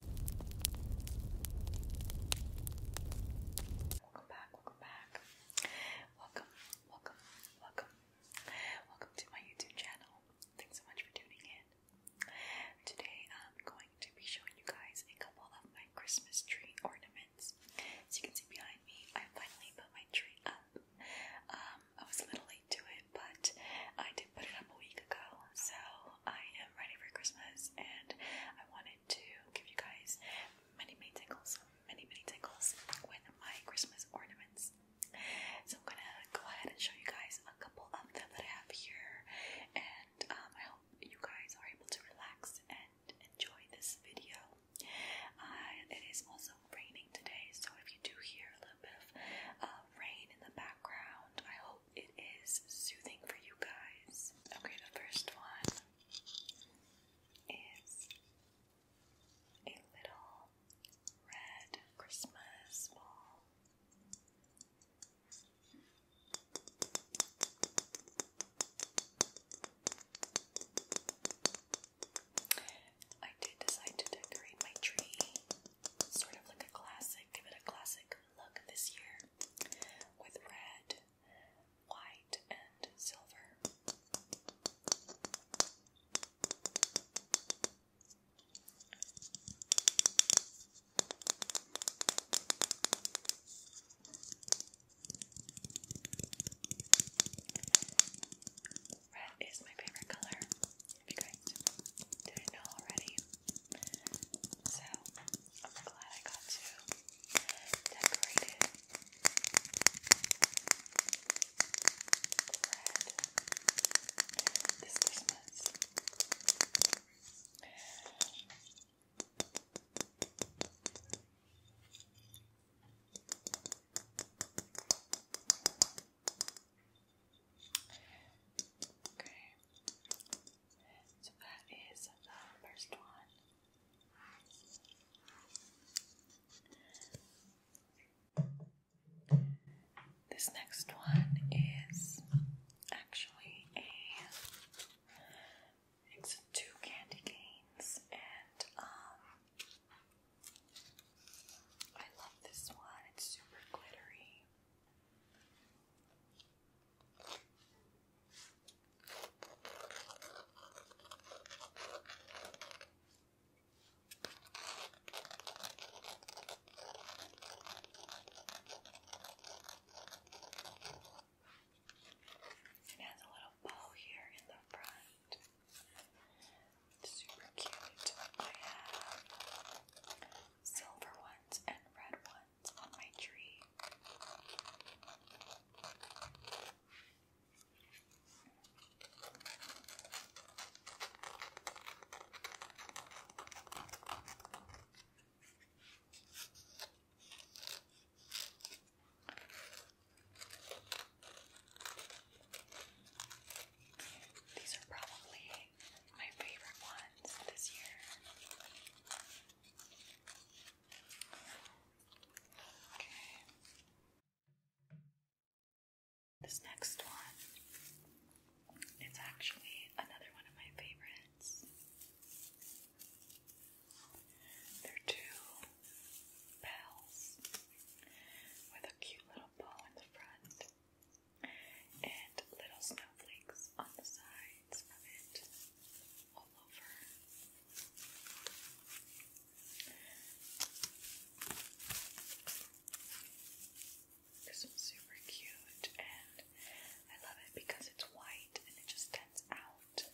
Welcome back, welcome back. Welcome, welcome, welcome. Welcome to my YouTube channel. Thanks so much for tuning in. Today I'm going to be showing you guys a couple of my Christmas tree ornaments. As you can see behind me, I finally put my tree up. Um, I was a little late to it but I did put it up a week ago, so I am ready for Christmas and I wanted to give you guys many, many tingles, many, many tingles with my Christmas ornaments. So I'm gonna go ahead and show you guys a couple of them that I have here, and um, I hope you guys are able to relax and enjoy this video. Uh, it is also raining today, so if you do hear a little bit of uh, rain in the background, I hope it is soothing for you guys. Okay, the first one is a little red Christmas ball. I did decide to decorate my tree sort of like a classic, give it a classic look this year with red, white, and silver. Red is my favorite color. be great. Didn't know already. So I'm glad I got to decorate it. Red this Christmas. Okay. So that is the first one. This next one is actually a it's two candy canes and um I love this one, it's super glittery. It has a little bow here in the front super cute. I have silver ones and red ones on my tree. These are probably my favorite ones this year. Okay. This next one, it's actually another one of my favorites. They're two bells with a cute little bow in the front and little snowflakes on the sides of it all over. This one's super cute and I love it because it's white and it just stands out.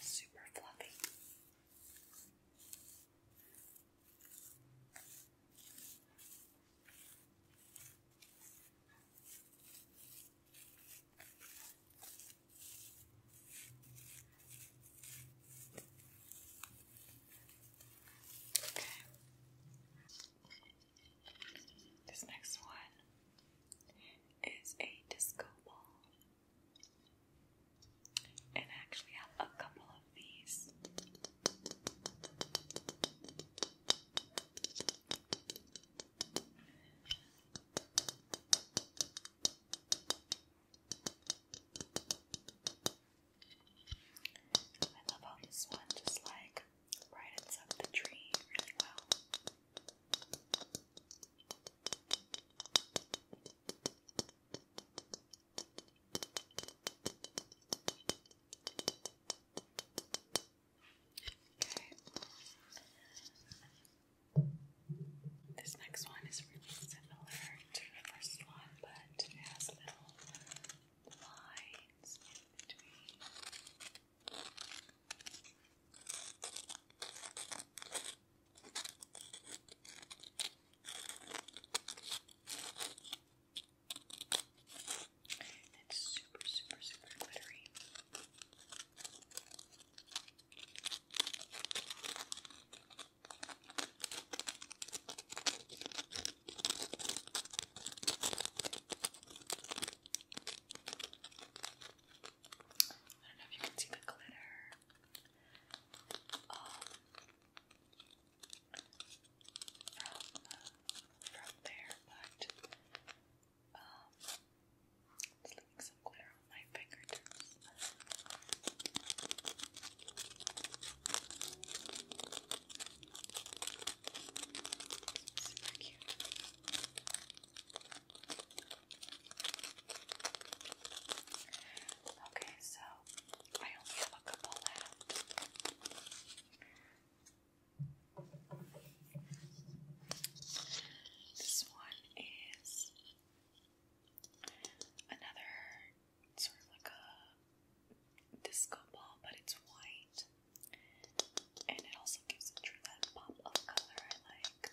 Super fluffy. Okay. This next one is a disco ball. And I actually have a couple of these. I love how this one just like brightens up the tree really well. I Okay. This next one is really similar to the first one, but it has little lines in between. It's super, super, super glittery. I don't know if you can see the glitter. Um, from, uh, from there, but um, just leaving some glitter on my fingertips. Super cute. Okay, so I only have a couple left. This one is another sort of like a disco ball, but it's white. And it also gives it that pop of color I like.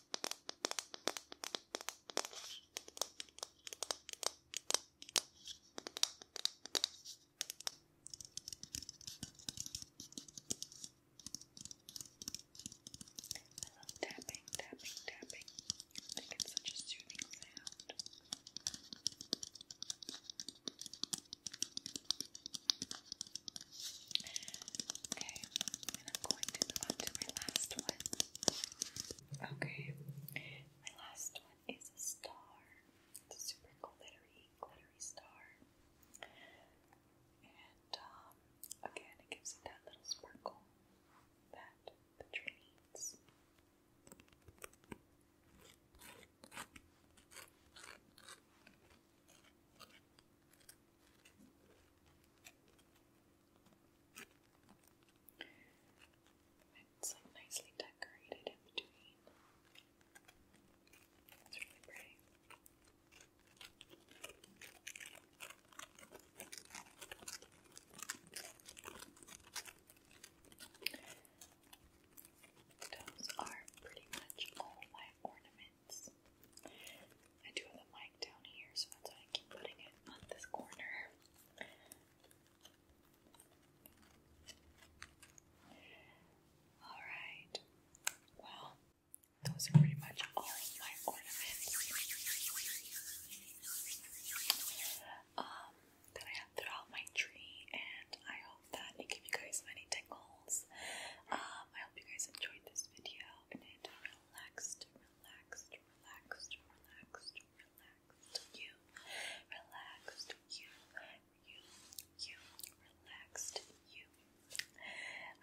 I love tapping, tapping, tapping. I it's such a soothing sound. Okay, and I'm going to move on to my last one. Okay, my last one is a star. a super glittery, glittery star. And um, again, it gives it that little sparkle that the tree needs. It's like nicely decorated in between. It's really pretty. Those are pretty much all my ornaments. I do have the mic down here, so that's why I keep putting it on this corner. Alright, well, those are pretty much all of my ornaments um, that I have throughout my tree, and I hope that it gave you guys many tingles. Um, I hope you guys enjoyed this video relaxed, relaxed, relaxed, relaxed, relaxed. You relaxed. You, you, you relaxed. You.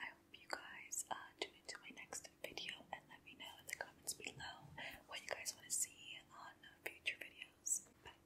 I hope you guys uh, tune into my next video and let me know in the comments below what you guys want to see on future videos. Bye.